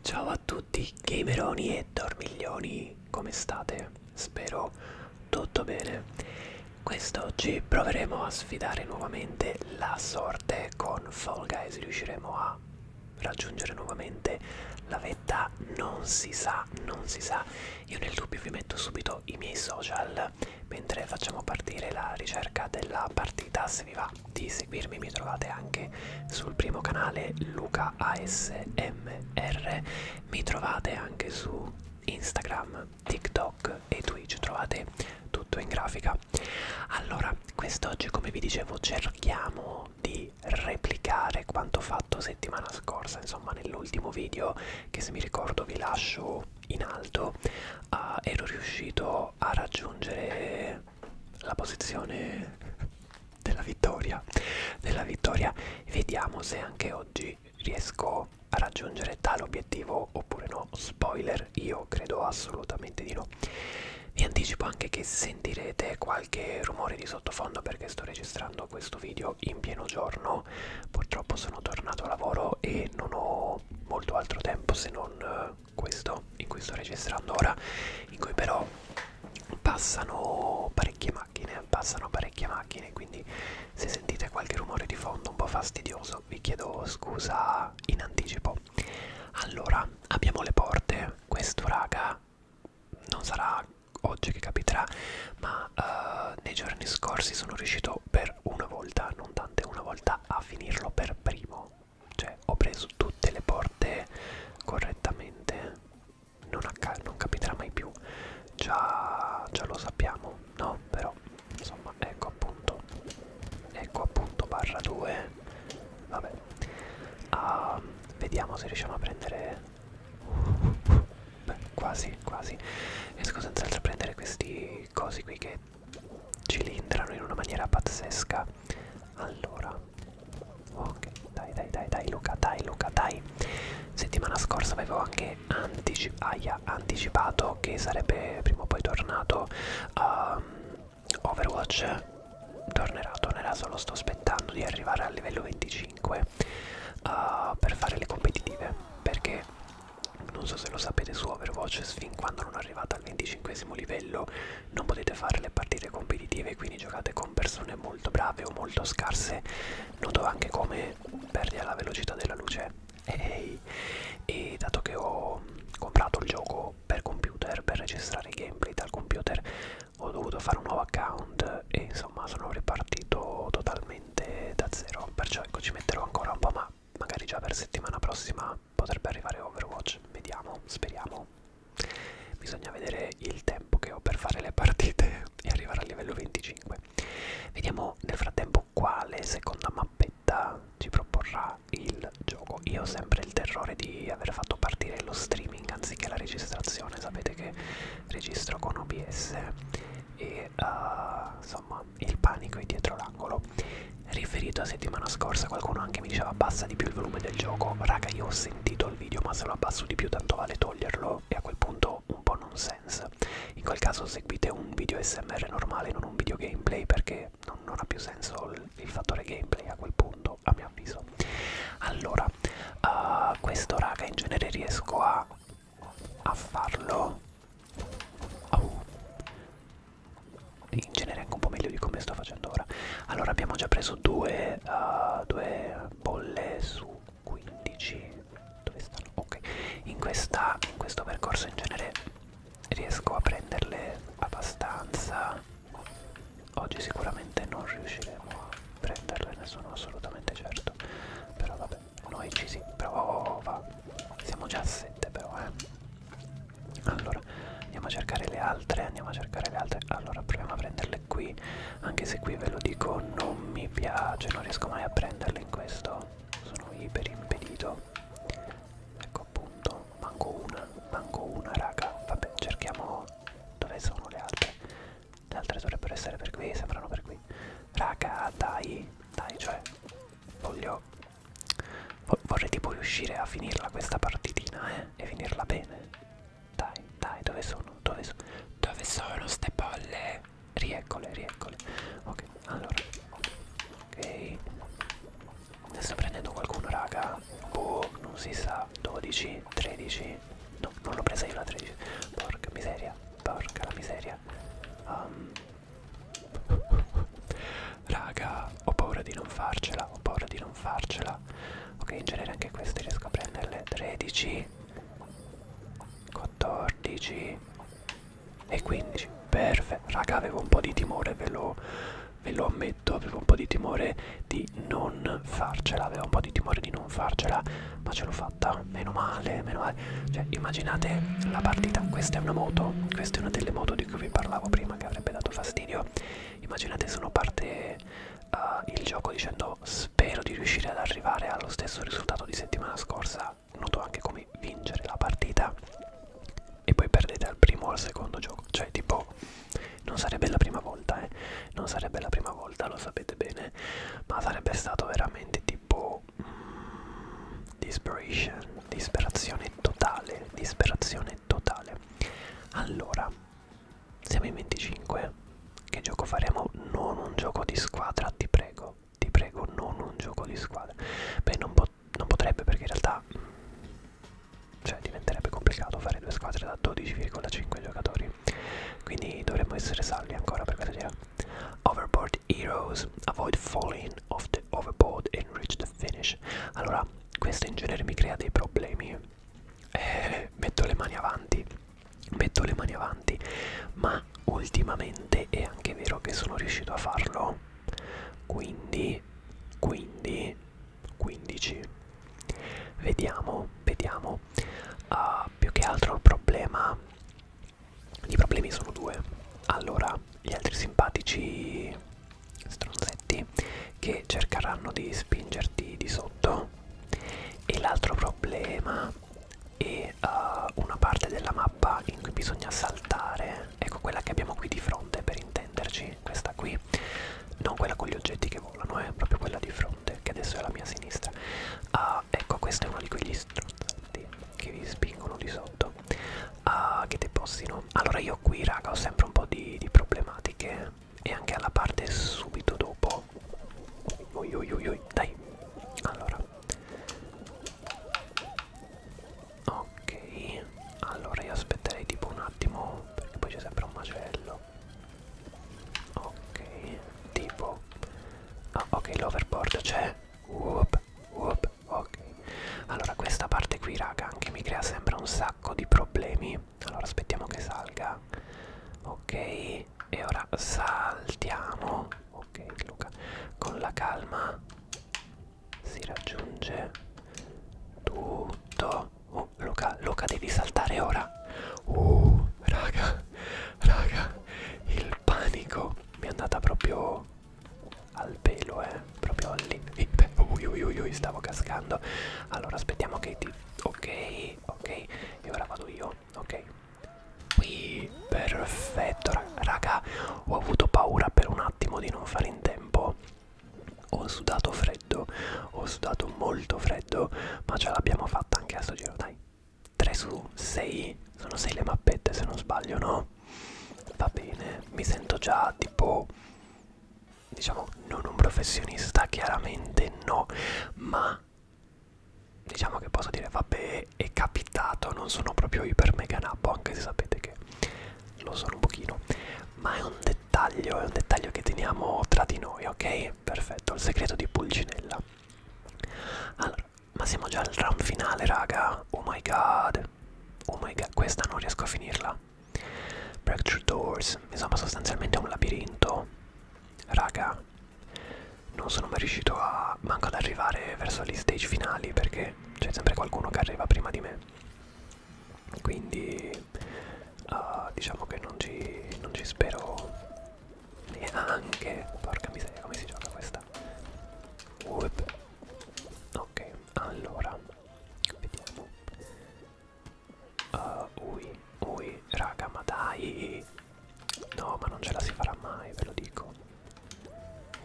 Ciao a tutti, gameroni e dormiglioni, come state? Spero tutto bene. Quest'oggi proveremo a sfidare nuovamente la sorte con Fall Guys. Riusciremo a raggiungere nuovamente la vetta? Non si sa, non si sa. Io nel dubbio vi metto subito i miei social mentre facciamo partire la ricerca della partita, se vi va di seguirmi, mi trovate anche sul primo canale Luca ASMR, mi trovate anche su Instagram, TikTok e Twitch, trovate tutto in grafica. Allora, quest'oggi come vi dicevo cerchiamo di replicare quanto fatto settimana scorsa, insomma nell'ultimo video che se mi ricordo vi lascio in alto, uh, ero riuscito a raggiungere la posizione della vittoria della vittoria vediamo se anche oggi riesco a raggiungere tale obiettivo oppure no spoiler io credo assolutamente di no vi anticipo anche che sentirete qualche rumore di sottofondo perché sto registrando questo video in pieno giorno purtroppo sono tornato a lavoro e non ho molto altro tempo se non eh, questo in cui sto registrando ora in cui però passano parecchie macchine passano parecchie macchine quindi se sentite qualche rumore di fondo un po' fastidioso vi chiedo scusa in anticipo allora abbiamo le porte questo raga non sarà oggi che capiterà ma uh, nei giorni scorsi sono riuscito per una volta non tante una volta a finirlo per primo cioè, ho preso tutte le porte correttamente. Non, non capiterà mai più. Già, già lo sappiamo, no? Però, insomma, ecco appunto. Ecco appunto, barra 2. Vabbè. Uh, vediamo se riusciamo a prendere... Beh, quasi, quasi. Riesco senz'altro a prendere questi cosi qui che cilindrano in una maniera pazzesca allora, ok, dai, dai, dai, dai, Luca, dai, Luca, dai. Settimana scorsa avevo anche anticip aia, anticipato che sarebbe prima o poi tornato um, Overwatch. Tornerà, tornerà, solo sto aspettando di arrivare al livello 25 uh, eh, per fare le competitive. Perché non so se lo sapete su Overwatch, fin quando non arrivate al 25 livello non potete fare le partite competitive quindi giocate con persone molto brave o molto scarse noto anche come perdita la velocità della luce e, e dato che ho comprato il gioco per computer per registrare i gameplay dal computer ho dovuto fare un nuovo account e insomma sono ripartito totalmente da zero perciò ecco ci metterò ancora un po' ma magari già per settimana prossima potrebbe arrivare Overwatch, vediamo, speriamo. Bisogna vedere il tempo che ho per fare le partite e arrivare al livello 25. Vediamo nel frattempo quale seconda mappetta ci proporrà il gioco. Io ho sempre il terrore di aver fatto partire lo streaming anziché la registrazione, sapete che registro con OBS e uh, insomma il panico è dietro l'angolo riferito a settimana scorsa qualcuno anche mi diceva abbassa di più il volume del gioco raga io ho sentito il video ma se lo abbasso di più tanto vale toglierlo e a quel punto un po' non sense in quel caso seguite un video smr normale non un video gameplay perché non, non ha più senso il, il fattore gameplay a quel punto a mio avviso allora uh, questo raga in genere riesco a a farlo oh, in genere anche un po' meglio di come sto facendo ora allora abbiamo già preso due, uh, due bolle su 15 dove stanno? ok in, questa, in questo percorso in genere riesco a prenderle abbastanza oggi sicuramente non riusciremo a prenderle ne sono assolutamente certo però vabbè noi ci si prova siamo già a 7 però eh allora andiamo a cercare le altre andiamo a cercare le altre allora proviamo a prenderle qui anche se qui ve lo dico non mi piace non riesco mai a prenderle in questo sono iper impedito ecco appunto manco una manco una raga vabbè cerchiamo dove sono le altre le altre dovrebbero essere per qui sembrano per qui raga dai dai cioè voglio Vorrei tipo riuscire a finirla questa partitina, eh? E finirla bene. Dai, dai, dove sono? Dove sono? Dove sono ste palle? Rieccole, rieccole. Ok, allora. Ok. Ne sto prendendo qualcuno, raga. Boh, non si sa. 12, 13. No, non l'ho presa io la 13. Porca miseria, porca la miseria. Um, Raga, ho paura di non farcela, ho paura di non farcela. Ok, in genere anche queste riesco a prenderle. 13, 14 e 15. Perfetto. Raga, avevo un po' di timore, ve lo, ve lo ammetto, avevo un po' di timore di non farcela, avevo un po' di timore di non farcela, ma ce l'ho fatta. Meno male, meno male. Cioè, immaginate la partita, questa è una moto, questa è una delle moto di cui vi parlavo prima che avrebbe dato fastidio allora immaginate se uno parte uh, il gioco dicendo spero di riuscire ad arrivare allo stesso risultato di settimana scorsa noto anche come vincere la partita e poi perdete al primo o al secondo gioco cioè tipo non sarebbe la prima volta eh non sarebbe la prima volta lo sapete bene ma sarebbe stato veramente tipo mm, desperation disperazione disperazione totale, disperazione totale. Allora, siamo in 25. Che gioco faremo? Non un gioco di squadra, ti prego. Ti prego, non un gioco di squadra. Beh, non, pot non potrebbe perché in realtà... Cioè, diventerebbe complicato fare due squadre da 12,5 giocatori. Quindi dovremmo essere salvi ancora per questa gira. Overboard Heroes, Avoid Falling, off the overboard and reach the finish. Allora, questo in genere mi crea dei problemi. Eh, metto le mani avanti, metto le mani avanti, ma ultimamente è anche vero che sono riuscito a farlo. Quindi, quindi, 15. Vediamo, vediamo. Uh, più che altro il problema. I problemi sono due. Allora, gli altri simpatici stronzetti che cercheranno di spingerti di sotto e l'altro problema è uh, una parte della mappa in cui bisogna saltare ecco quella che abbiamo qui di fronte per intenderci questa qui non quella con gli oggetti che volano è eh, proprio quella di fronte che adesso è alla mia sinistra uh, ecco questo è uno di quegli stronzetti che vi spingono di sotto credo uh, ah, che depostino allora io qui raga ho sempre un po' di, di problematiche e anche alla parte subito dopo ui, ui, ui, ui. dai allora ok allora io aspetterei tipo un attimo perché poi c'è sempre un macello ok tipo ah, ok l'overboard c'è whoop whoop ok allora questa parte qui raga anche mi crea sempre un sacco di problemi allora aspettiamo che salga ok e ora saltiamo ok Luca con la calma si raggiunge tutto oh Luca Luca devi saltare ora uh raga raga il panico mi è andata proprio al pelo, eh, proprio all'invito. Ui, ui, ui, ui, stavo cascando. Allora, aspettiamo che ti... Ok, ok, e ora vado io, ok. Qui, perfetto, raga, ho avuto paura per un attimo di non fare in tempo. Ho sudato freddo, ho sudato molto freddo, ma ce l'abbiamo fatta anche a sto giro, dai. 3 su 6, sono 6 le mappette se non sbaglio, no? va bene mi sento già tipo diciamo non un professionista chiaramente no ma diciamo che posso dire vabbè è capitato non sono proprio iper mega nappo anche se sapete che lo sono un pochino ma è un dettaglio è un dettaglio che teniamo tra di noi ok perfetto il segreto di pulcinella allora ma siamo già al round finale raga oh my god 2. Oh my god, questa non riesco a finirla. Breakthrough Doors, insomma sostanzialmente è un labirinto. Raga, non sono mai riuscito a manco ad arrivare verso gli stage finali perché c'è sempre qualcuno che arriva prima di me. Quindi uh, diciamo che non ci, non ci spero neanche. Porca miseria, come si gioca questa? Whoop. Ok, allora Vediamo. Uh, ui, ui, raga, ma dai. No, ma non ce la si farà mai, ve lo dico.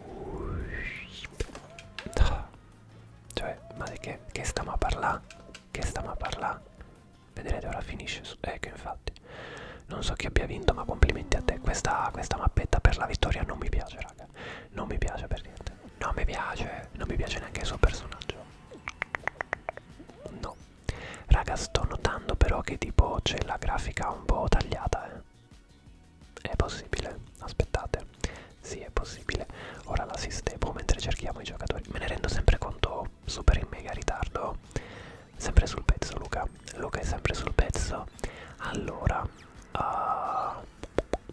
Ui. Ah. Cioè, ma di che, che stiamo a parlare? Che stiamo a parlare? Vedrete ora finisce. Su ecco, infatti. Non so chi abbia vinto, ma complimenti a te. Questa, questa mappetta per la vittoria non mi piace, raga raga non mi piace per niente non mi piace non mi piace neanche il suo personaggio no raga sto notando però che tipo c'è la grafica un po' tagliata eh è possibile aspettate sì è possibile ora la sistemo mentre cerchiamo i giocatori me ne rendo sempre conto super in mega ritardo sempre sul pezzo Luca Luca è sempre sul pezzo allora uh,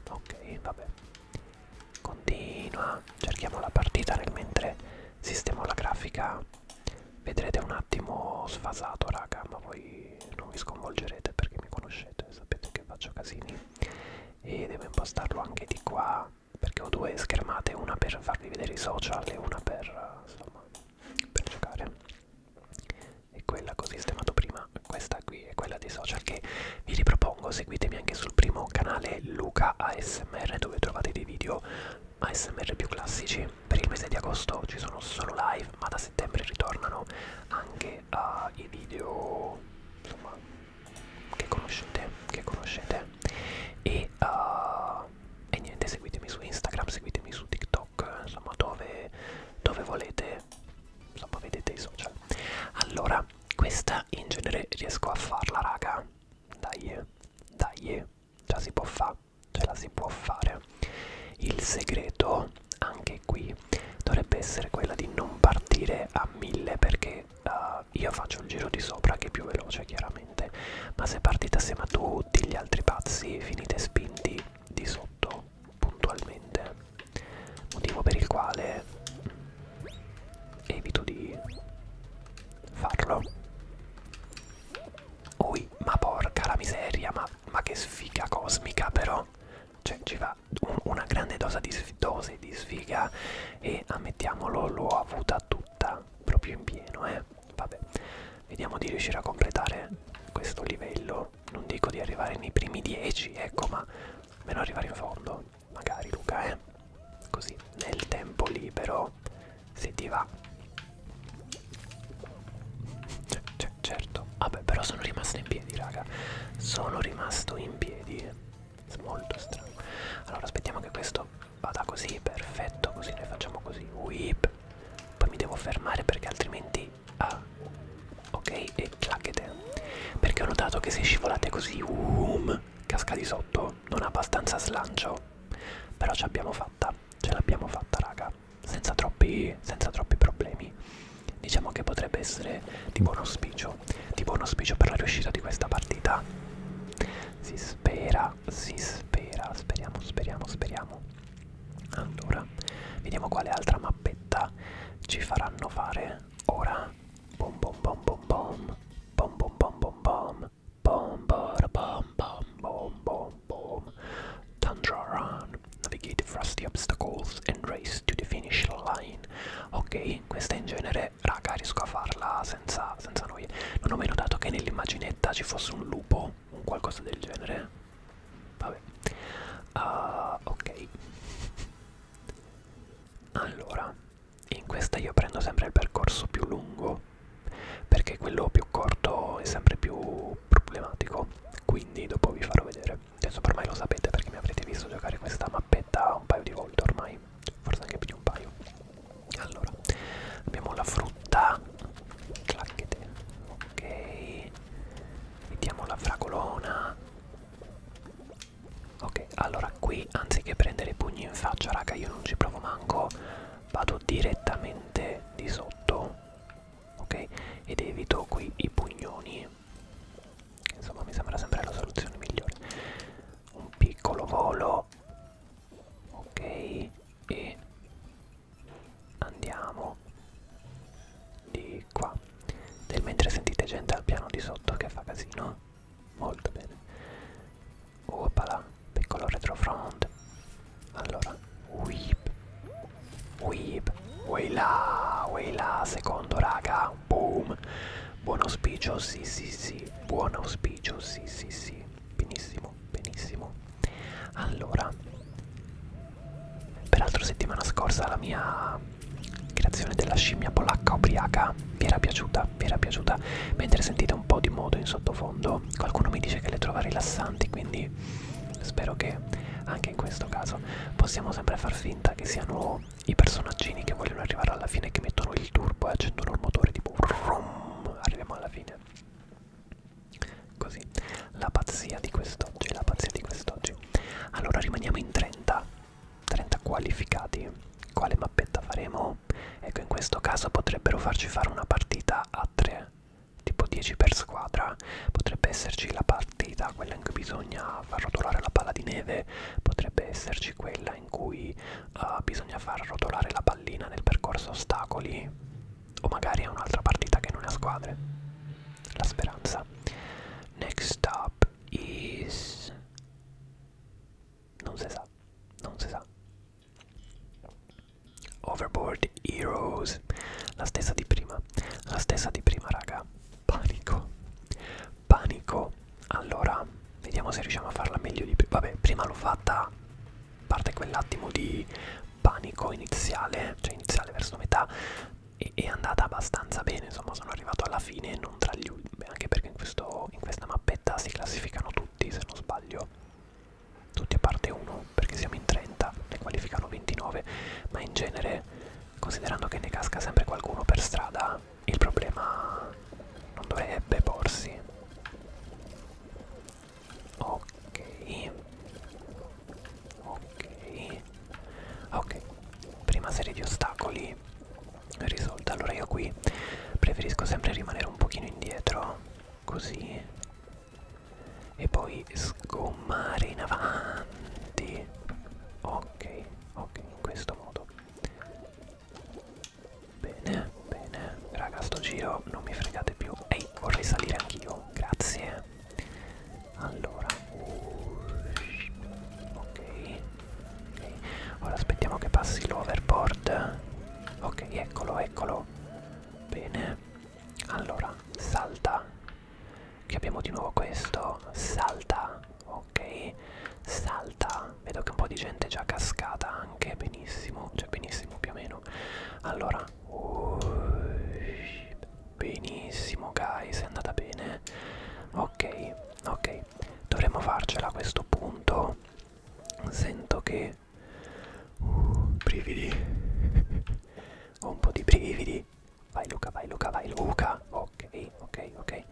ok vabbè continua cerchiamo la partita nel mentre sistemo la grafica vedrete un attimo sfasato raga ma voi non vi sconvolgerete perché mi conoscete sapete che faccio casini e devo impostarlo anche di qua perché ho due schermate una per farvi vedere i social e una per insomma per giocare e quella che ho sistemato prima questa qui è quella dei social che vi ripropongo seguitemi anche sul primo canale Luca ASMR dove trovate dei video ASMR più classici per il mese di agosto ci sono solo live ma da settembre ritornano anche uh, i video insomma che conoscete che conoscete e, uh, e niente seguitemi su Instagram seguitemi su TikTok insomma dove dove volete come insomma vedete i social allora questa in genere riesco a farla raga dai dai già si può fare ce la si può fare il segreto anche qui dovrebbe essere quella di non partire a 1000 perché uh, io faccio il giro di sopra che è più veloce chiaramente ma se partite assieme a tutti gli altri pazzi finite spinti di sotto puntualmente motivo per il quale evito di farlo oi ma porca la miseria ma, ma che sfiga cosmica però cioè ci va un, una grande dose di, dose di sfiga e ammettiamolo l'ho avuta tutta proprio in pieno eh vabbè vediamo di riuscire a completare questo livello non dico di arrivare nei primi 10, ecco, ma almeno arrivare in fondo, magari Luca, eh. Così nel tempo libero, se ti va. C cioè, -c cioè, certo, vabbè, però sono rimasto in piedi, raga. Sono rimasto in piedi. Eh. È molto strano. Allora, aspettiamo che questo vada così, perfetto, così noi facciamo così. Whip. Poi mi devo fermare perché altrimenti ah, ok e clacchete perché ho notato che se scivolate così um, casca di sotto non ha abbastanza slancio però ci abbiamo fatta ce l'abbiamo fatta raga senza troppi, senza troppi problemi diciamo che potrebbe essere di buon auspicio di buon auspicio per la riuscita di questa partita si spera si spera speriamo speriamo speriamo allora vediamo quale altra mappetta ci faranno fare ora bom bom bom bom bom bom bom bom bom bom bom bom bom bom bom bom Tundra Run Navigate frosty obstacles and race to the finish line Ok, questa in genere, raga, riesco a farla senza, senza noie Non ho meno dato che nell'immaginetta ci fosse un lupo, un qualcosa del genere Vabbè. Uh, ok. Allora, in questa io prendo sempre il percorso più lungo, perché quello più corto è sempre più problematico, quindi dopo vi farò vedere. Adesso ormai lo sapete perché mi avrete visto giocare questa mappetta un paio di volte ormai, forse anche più di un paio. Allora, abbiamo la frutta, clacchete, ok, Mettiamo la fragolona. Ok, allora qui anziché prendere i pugni in faccia, raga, io non ci provo manco. Vado direttamente di sotto. Ok? Ed evito qui i pugnoni. Insomma, mi sembra sempre la soluzione migliore. Un piccolo volo. Ok. E andiamo di qua nel mentre sentite gente al piano di sotto che fa casino molto bene opala piccolo retrofront allora whip whip là, way là, secondo raga boom buon auspicio sì sì sì buon auspicio sì sì sì benissimo benissimo allora Peraltro settimana scorsa la mia creazione della scimmia polacca ubriaca vi era piaciuta, vi era piaciuta. Mentre sentite un po' di moto in sottofondo, qualcuno mi dice che le trova rilassanti, quindi spero che anche in questo caso possiamo sempre far finta che siano i personaggini che vogliono arrivare alla fine, che mettono il turbo e accendono il motore tipo rum, arriviamo alla fine. Così, la pazzia di quest'oggi, la pazzia di quest'oggi. Allora rimaniamo in 30, 30 qualificati. Quale mappetta faremo? Ecco, in questo caso potrebbero farci fare una partita a 3, tipo 10 per squadra. Potrebbe esserci la partita, quella in cui bisogna far rotolare la palla di neve, potrebbe esserci quella in cui uh, bisogna far rotolare la pallina nel percorso ostacoli o magari è un'altra partita che non ha squadre la speranza next up is non si sa non si sa overboard heroes la stessa di prima la stessa di prima raga panico panico allora vediamo se riusciamo a farla meglio di prima vabbè prima l'ho fatta parte quell'attimo di panico iniziale, cioè iniziale verso metà, e è andata abbastanza bene, insomma sono arrivato alla fine e non tra gli ultimi, anche perché in, questo, in questa mappetta si classificano tutti se non sbaglio, tutti a parte uno perché siamo in 30, ne qualificano 29, ma in genere considerando che ne casca sempre qualcuno per strada, il problema non dovrebbe porsi. Ok ok ok prima serie di ostacoli risolta allora io qui preferisco sempre rimanere un pochino indietro così e poi sgommare in avanti ok ok in questo modo bene bene raga sto giro non mi fregate più ehi vorrei salire anch'io grazie allora ok ok ora aspettiamo che passi l'overboard ok eccolo eccolo bene allora salta che abbiamo di nuovo questo salta ok salta vedo che un po' di gente è già cascata anche benissimo cioè benissimo più o meno allora Benissimo guys, è andata bene. Ok, ok, dovremmo farcela a questo punto. Sento che... Uh, brividi. Ho un po' di brividi. Vai Luca, vai Luca, vai Luca. Ok, ok, ok.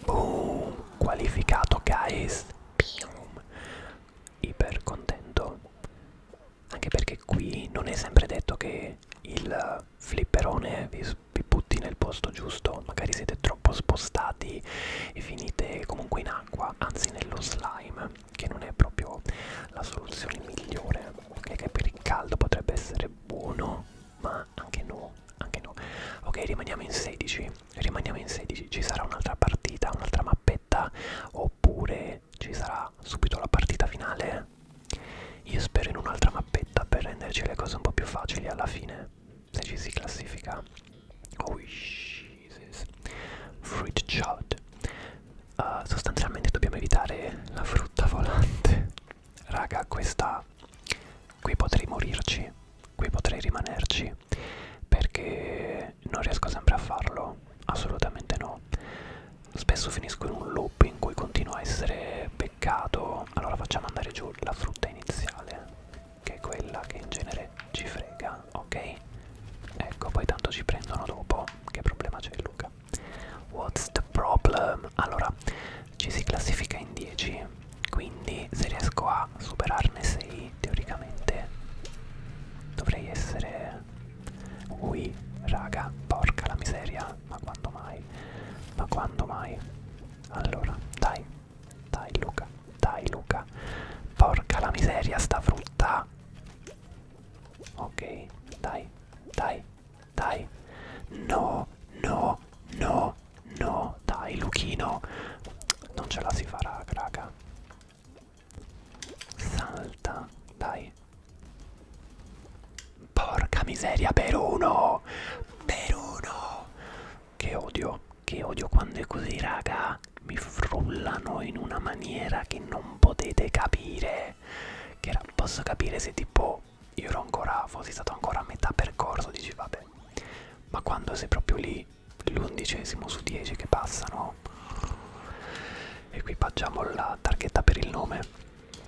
Boom, qualificato guys. Boom. Iper contento anche perché qui non è sempre detto che il flipperone vi, vi butti nel posto giusto, magari siete troppo spostati e finite comunque in acqua, anzi nello slime, che non è proprio la soluzione migliore, ok? Che per il caldo potrebbe essere buono, ma anche no, anche no. Ok, rimaniamo in 16, rimaniamo in 16, ci sarà un'altra partita, un'altra mappetta, oppure che ci sarà subito la partita finale eh? io spero in un'altra mappetta per renderci le cose un po' più facili alla fine se ci si classifica oh Jesus fruit shot uh, sostanzialmente dobbiamo evitare la frutta volante raga questa qui potrei morirci qui potrei rimanerci perché non riesco sempre a farlo no, assolutamente no. Spesso finisco in un loop in cui continuo a essere beccato. Allora facciamo andare giù la frutta iniziale, che è quella che in genere ci frega, ok? Ecco, poi tanto ci prendono dopo. Che problema c'è Luca? What's the problem? Allora, ci si classifica in 10, quindi se riesco a superarne 6, teoricamente dovrei essere Ui, raga, porca la miseria, ma quando mai? Ma quando mai? Allora, dai, dai Luca, dai Luca. Porca la miseria sta frutta. Ok, dai, dai, dai. No, no, no, no, dai Luchino. Non ce la si farà, raga. Salta, dai. Porca miseria, per uno! Per uno! Che odio, che odio quando è così, raga. Mi frullano in una maniera che non potete capire. Che era, posso capire se tipo io ero ancora, fossi stato ancora a metà percorso, dici vabbè. Ma quando sei proprio lì, l'undicesimo su 10 che passano equipaggiamo la targhetta per il nome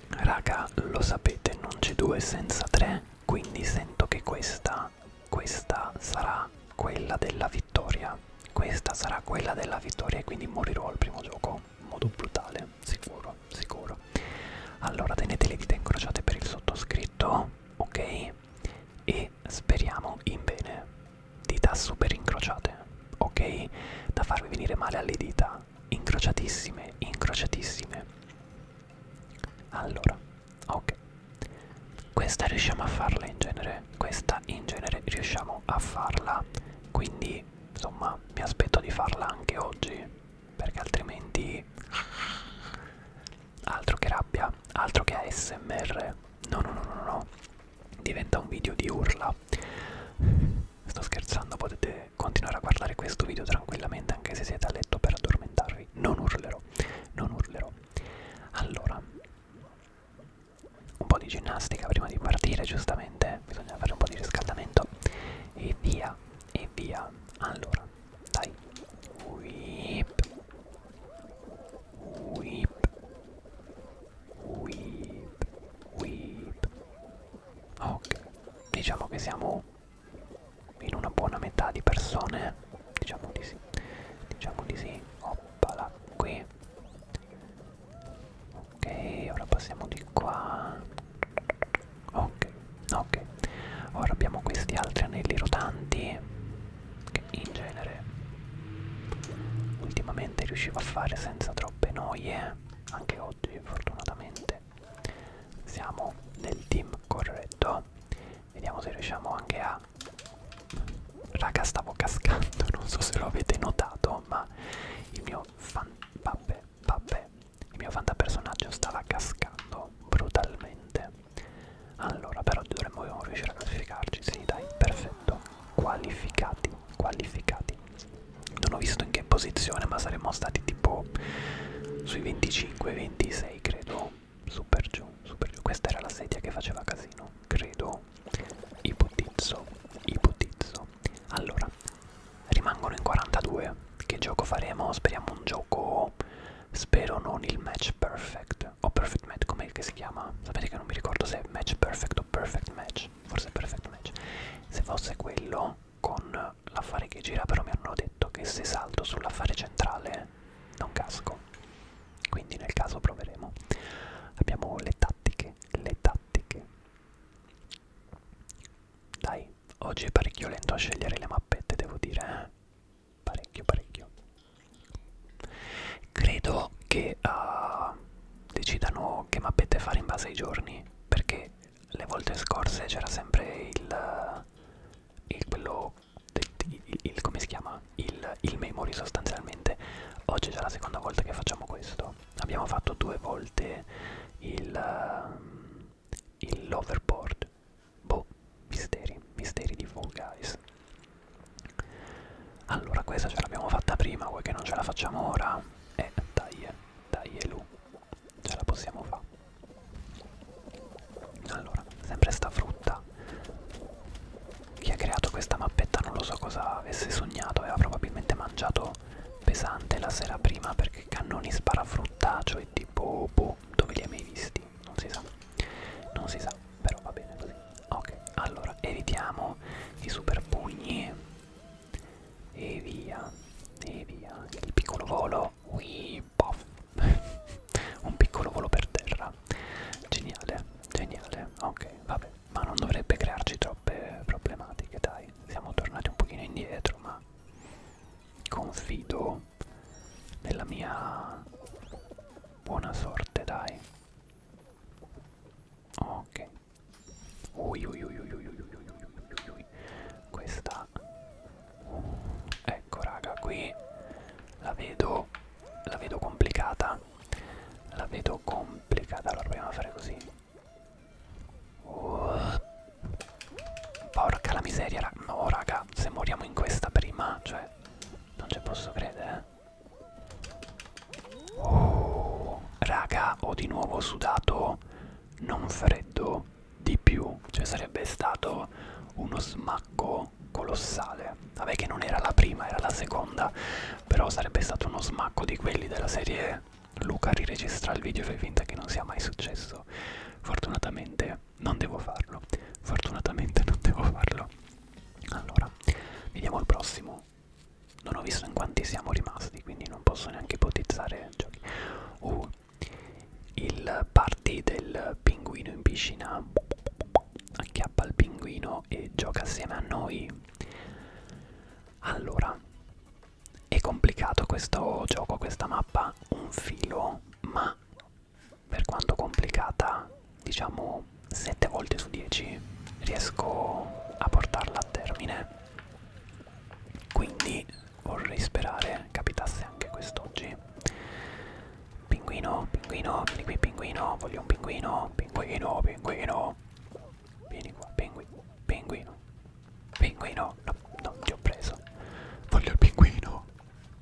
raga lo sapete non c'è due senza tre quindi sento che questa questa sarà quella della vittoria questa sarà quella della vittoria e quindi morirò al primo gioco in modo brutale sicuro sicuro allora tenete le dita incrociate per il sottoscritto ok e speriamo in bene dita super incrociate, ok? Da farvi venire male alle dita, incrociatissime, incrociatissime. Allora, ok. Questa riusciamo a farla in genere, questa in genere riusciamo a farla, quindi insomma mi aspetto di farla anche oggi, perché altrimenti altro che rabbia, altro che ASMR no no no no no diventa un video di urla sto scherzando potete continuare a guardare questo video tranquillamente anche se siete a letto per addormentarvi non urlerò non urlerò allora un po' di ginnastica prima di partire giustamente bisogna fare un po' di riscaldamento e via e via allora dai whip whip Weep, weep. Ok, diciamo che siamo in una buona metà di persone. Diciamo di sì. Diciamo di sì. Oppala, qui. Ok, ora passiamo di qua. Ok, ok. Ora abbiamo questi altri anelli rotanti che in genere ultimamente riuscivo a fare senza troppe noie, anche oggi fortunatamente siamo nel team corretto, vediamo se riusciamo anche a... Raga stavo cascando, non so se lo avete notato, ma il mio fan... vabbè, vabbè, il mio fantapersonaggio stava cascando brutalmente. Allora, però dovremmo riuscire a classificarci, sì dai, perfetto qualificati, qualificati. Non ho visto in che posizione, ma saremmo stati tipo sui 25-26, credo. Super giù, super giù. Questa era la sedia che faceva casino, credo. Ipotizzo, ipotizzo. Allora, rimangono in 42. Che gioco faremo? Speriamo un gioco... Spero non il match perfect match o perfect match, com'è che si chiama? Sapete che non mi ricordo se è match perfect o perfect match, forse perfect match. Se fosse quello con l'affare che gira, però mi hanno detto che se salto sull'affare centrale non casco. Quindi nel caso proveremo. Abbiamo le tattiche, le tattiche. Dai, oggi è parecchio lento a scegliere le mappette, devo dire. Eh. Parecchio, parecchio credo che uh, decidano che mappette fare in base ai giorni perché le volte scorse c'era sempre il, il quello il, il, il, come si chiama il, il memory sostanzialmente oggi è già la seconda volta che facciamo questo abbiamo fatto due volte il uh, ehm, l'overboard boh misteri misteri di Fall Guys allora questa ce l'abbiamo fatta prima, vuoi che non ce la facciamo ora? Eh, dai, eh, dai Elu, eh, ce la possiamo fare. Allora, sempre sta frutta. Chi ha creato questa mappetta non lo so cosa avesse sognato, aveva probabilmente mangiato pesante la sera prima perché cannoni sparafruttaceo cioè e tipo boh, dove li hai mai visti? Non si sa, non si sa però va bene così ok allora evitiamo i super pugni e via e via il piccolo volo Ui, pof. un piccolo volo per terra geniale geniale ok vabbè ma non dovrebbe crearci troppe problematiche dai siamo tornati un pochino indietro ma confido nella mia buona sorte dai Ok. Ui, ui, ui, ui, ui, ui, ui, ui. Questa. Ecco raga, qui la vedo. La vedo complicata. La vedo complicata. Allora proviamo a fare così. Uh. Porca la miseria, raga. No raga, se moriamo in questa prima, cioè. Non ci posso credere. Eh. Oh, raga, ho di nuovo sudato non freddo di più, cioè sarebbe stato uno smacco colossale. Vabbè che non era la prima, era la seconda, però sarebbe stato uno smacco di quelli della serie Luca riregistra il video e fai finta che non sia mai successo. Fortunatamente non devo farlo. Fortunatamente non devo farlo allora vediamo il prossimo non ho visto in quanti siamo rimasti quindi non posso neanche ipotizzare giochi uh, il party del pinguino in piscina acchiappa il pinguino e gioca assieme a noi allora è complicato questo gioco questa mappa un filo ma per quanto complicata diciamo 7 volte su 10 riesco a portarla a termine quindi vorrei sperare capitasse anche quest'oggi pinguino pinguino vieni qui pinguino voglio un pinguino pinguino pinguino vieni qua pinguino pinguino pinguino no non ti ho preso voglio il pinguino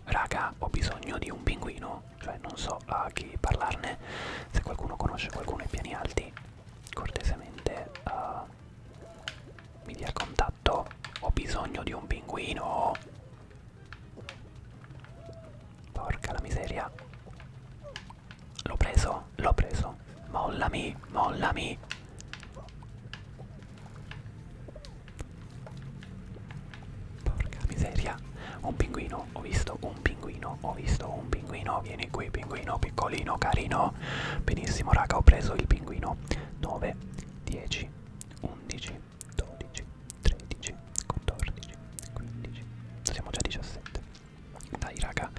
raga ho bisogno di un pinguino cioè non so a chi parlarne se qualcuno conosce qualcuno ai piani alti cortesemente uh, mi dia il contatto ho bisogno di un pinguino porca la miseria l'ho preso l'ho preso mollami mollami Porca miseria. Un pinguino, ho visto un pinguino, ho visto un pinguino. Vieni qui, pinguino, piccolino, carino. Benissimo, raga, ho preso il pinguino. 9, 10, 11, 12, 13, 14, 15. Siamo già 17. Dai, raga.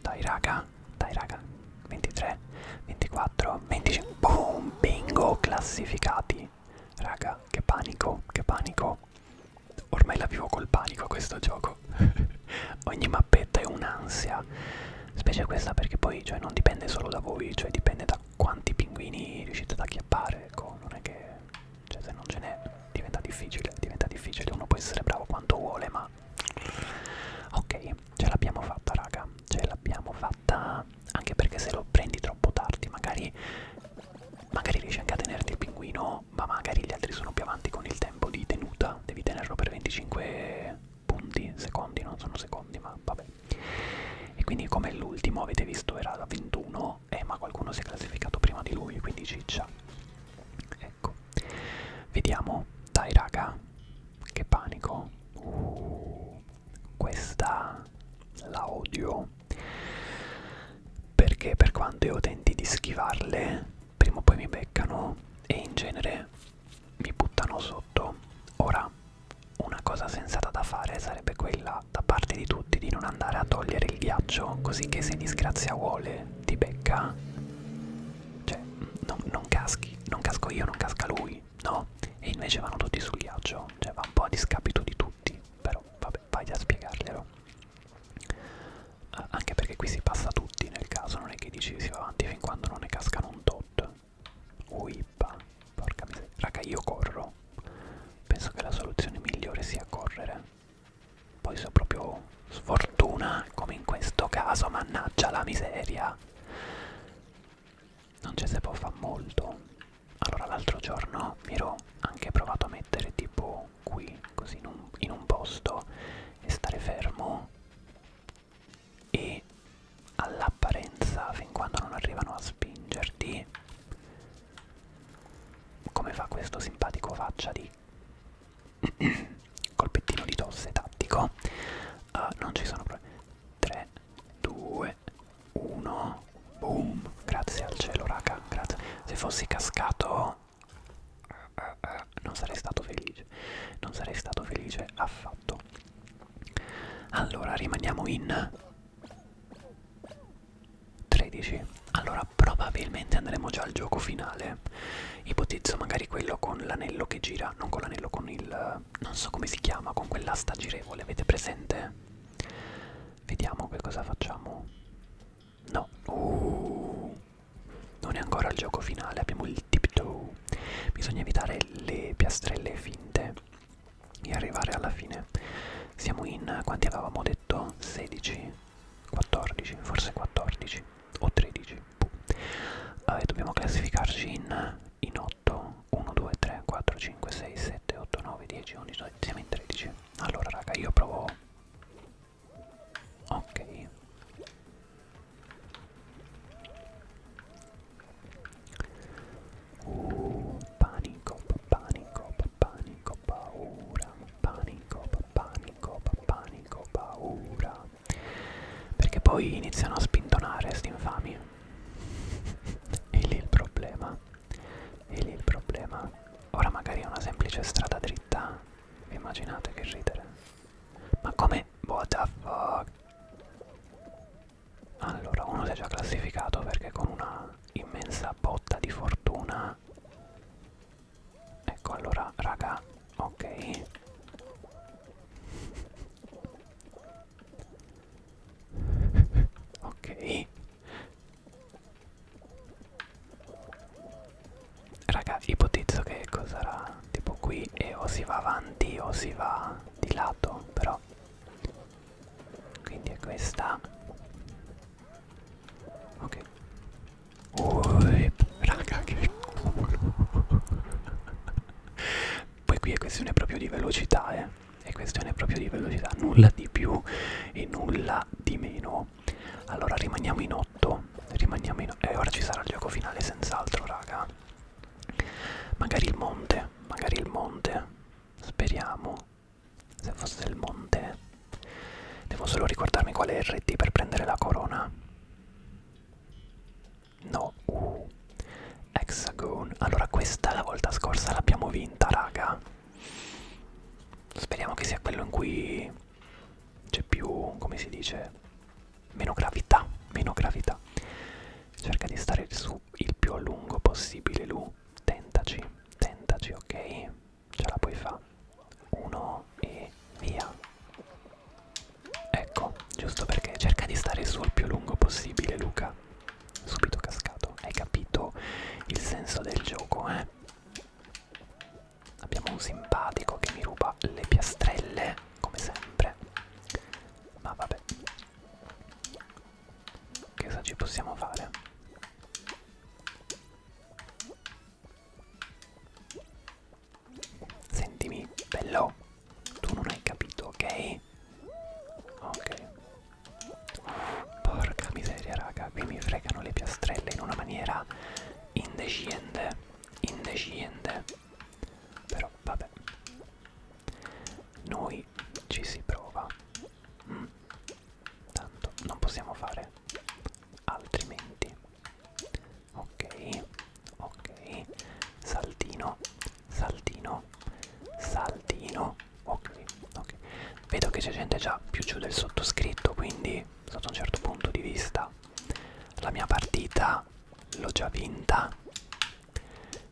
Dai, raga. Dai, raga. 23, 24, 25. Boom, bingo, classificati. Raga, che panico, che panico. Ormai la vivo col panico questo gioco. Ogni mappetta è un'ansia. Specie questa perché poi cioè, non dipende solo da voi, cioè dipende da quanti pinguini riuscite ad acchiappare. Ecco, non è che... Cioè se non ce n'è diventa difficile, diventa difficile. Uno può essere bravo quanto vuole, ma... Ok, ce l'abbiamo fatta raga, ce l'abbiamo fatta anche perché se lo prendi troppo tardi magari magari riesci anche a tenerti il pinguino, ma magari gli altri sono più avanti con il tempo di tenuta, devi tenerlo per 25 punti, secondi, non sono secondi, ma vabbè. E quindi come l'ultimo avete visto era da 21, eh, ma qualcuno si è classificato prima di lui, quindi ciccia. Ecco, vediamo, dai raga, che panico. Uh, questa la odio perché per quanto io tenti di schivarle prima o poi mi beccano e in genere mi buttano sotto ora una cosa sensata da fare sarebbe quella da parte di tutti di non andare a togliere il ghiaccio così che se disgrazia vuole ti becca cioè non, non caschi non casco io non casca lui no e invece vanno tutti sul ghiaccio cioè va un po' a discapito di tutti però vabbè vai a spiegarglielo. Eh, anche perché qui si passa tutti nel caso, non è che dici si va avanti fin quando non ne cascano un tot. Uippa, porca miseria. Raga, io corro. Penso che la soluzione migliore sia correre. Poi so proprio sfortuna, come in questo caso, mannaggia la miseria. Non c'è se può fare molto allora l'altro giorno mi ero anche provato a mettere tipo qui così in un, in un posto e stare fermo e all'apparenza fin quando non arrivano a spingerti come fa questo simpatico faccia di colpettino di tosse tattico uh, non ci sono problemi 3 2 2, 1, boom, grazie al cielo raga, grazie, se fossi cascato uh, uh, uh, non sarei stato felice, non sarei stato felice affatto. Allora rimaniamo in 13, allora probabilmente andremo già al gioco finale, ipotizzo magari quello con l'anello che gira, non con l'anello, con il, non so come si chiama, con quell'asta girevole, avete presente? Vediamo che cosa facciamo. No. Uh, non è ancora il gioco finale, abbiamo il tiptoe. Bisogna evitare le piastrelle finte e arrivare alla fine. Siamo in quanti avevamo detto? 16, 14, forse 14 o 13. Uh, e dobbiamo classificarci in, in 8, 1, 2, 3, 4, 5, 6, 7, 8, 9, 10, 11, 12, siamo in 13. Allora raga io provo... Ok. Uh, panico, panico, panico, paura, panico, panico, panico, paura. Perché poi iniziano a spintonare sti infami. E lì il problema. E lì il problema. Ora magari è una semplice strada dritta. Vi immaginate che ridere? Ma come? What the fuck? Allora, uno si è già classificato perché con una immensa botta di fortuna. Ecco allora, raga, ok. ok. Raga, ipotizzo che sarà tipo qui e o si va avanti o si va di lato, però. Quindi è questa. Ok. Ui, raga, che culo. Poi qui è questione proprio di velocità, eh è questione proprio di velocità nulla di più e nulla di meno allora rimaniamo in 8 rimaniamo in e eh, ora ci sarà il gioco finale senz'altro raga magari il monte magari il monte speriamo se fosse il monte devo solo ricordarmi qual è RT per prendere la corona no uh. hexagon allora questa la volta scorsa l'abbiamo vinta raga Speriamo che sia quello in cui c'è più, come si dice, meno gravità, meno gravità. Cerca di stare su il più a lungo possibile, Lu. Tentaci, tentaci, ok? Ce la puoi fare. Uno e via. Ecco, giusto perché cerca di stare su il più a lungo possibile, Luca subito cascato hai capito il senso del gioco eh abbiamo un simpatico che mi ruba le piastrelle come sempre ma vabbè che cosa ci possiamo fare sentimi bello tu non hai capito ok Ok. Porca miseria, raga, qui mi fregano le piastrelle in una maniera indecente, indecente. Però vabbè. Noi ci si prova. Mm. Tanto non possiamo fare altrimenti. Ok. Ok. Saltino. Saltino. Saltino. Ok, ok. Vedo che c'è gente già più giù del sottoscritto, quindi sotto un certo punto di vista la mia partita l'ho già vinta.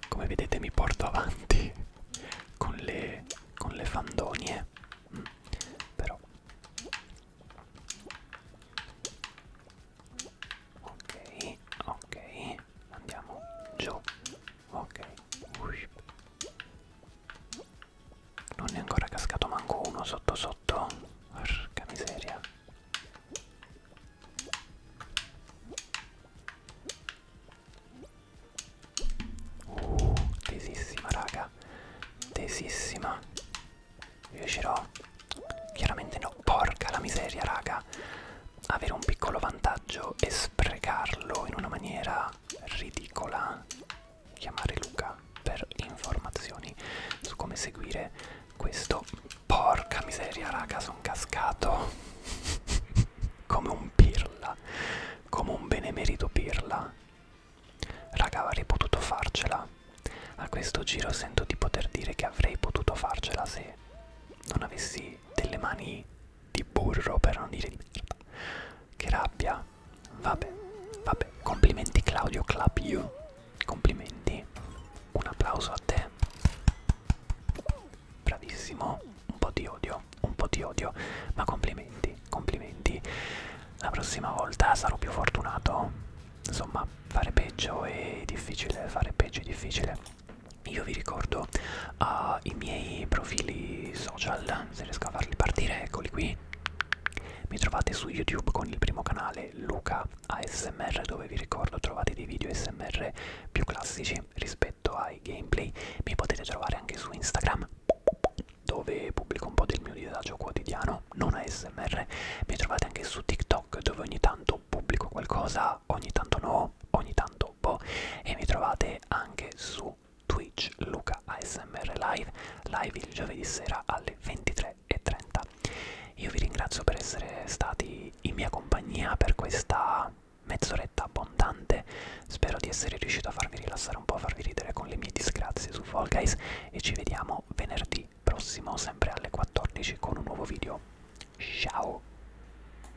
Come vedete mi porto avanti con le, con le fandonie. Mm, però. Ok, ok. Andiamo giù ok non è ancora cascato manco uno sotto sotto porca miseria uh tesissima raga tesissima riuscirò chiaramente no porca la miseria raga avere un piccolo vantaggio e sprecarlo in una maniera ridicola chiamare Luca per informazioni su come seguire questo porca miseria raga sono cascato come un pirla come un benemerito pirla raga avrei potuto farcela a questo giro sento di poter dire che avrei potuto farcela se non avessi delle mani di burro per non dire di merda. Che rabbia. Vabbè, vabbè. Complimenti Claudio, clap you. Complimenti. Un applauso a te. Bravissimo. Un po' di odio, un po' di odio. Ma complimenti, complimenti. La prossima volta sarò più fortunato. Insomma, fare peggio è difficile, fare peggio è difficile io vi ricordo uh, i miei profili social, se riesco a farli partire, eccoli qui. Mi trovate su YouTube con il primo canale Luca ASMR dove vi ricordo trovate dei video ASMR più classici rispetto ai gameplay. Mi potete trovare anche su Instagram dove pubblico un po' del mio disagio quotidiano, non ASMR. Mi trovate anche su TikTok dove ogni tanto pubblico qualcosa, ogni tanto no, ogni tanto gruppo e mi trovate anche su Twitch Luca ASMR Live, live il giovedì sera alle 23.30. Io vi ringrazio per essere stati in mia compagnia per questa mezz'oretta abbondante, spero di essere riuscito a farvi rilassare un po', a farvi ridere con le mie disgrazie su Fall Guys e ci vediamo venerdì prossimo sempre alle 14 con un nuovo video. Ciao!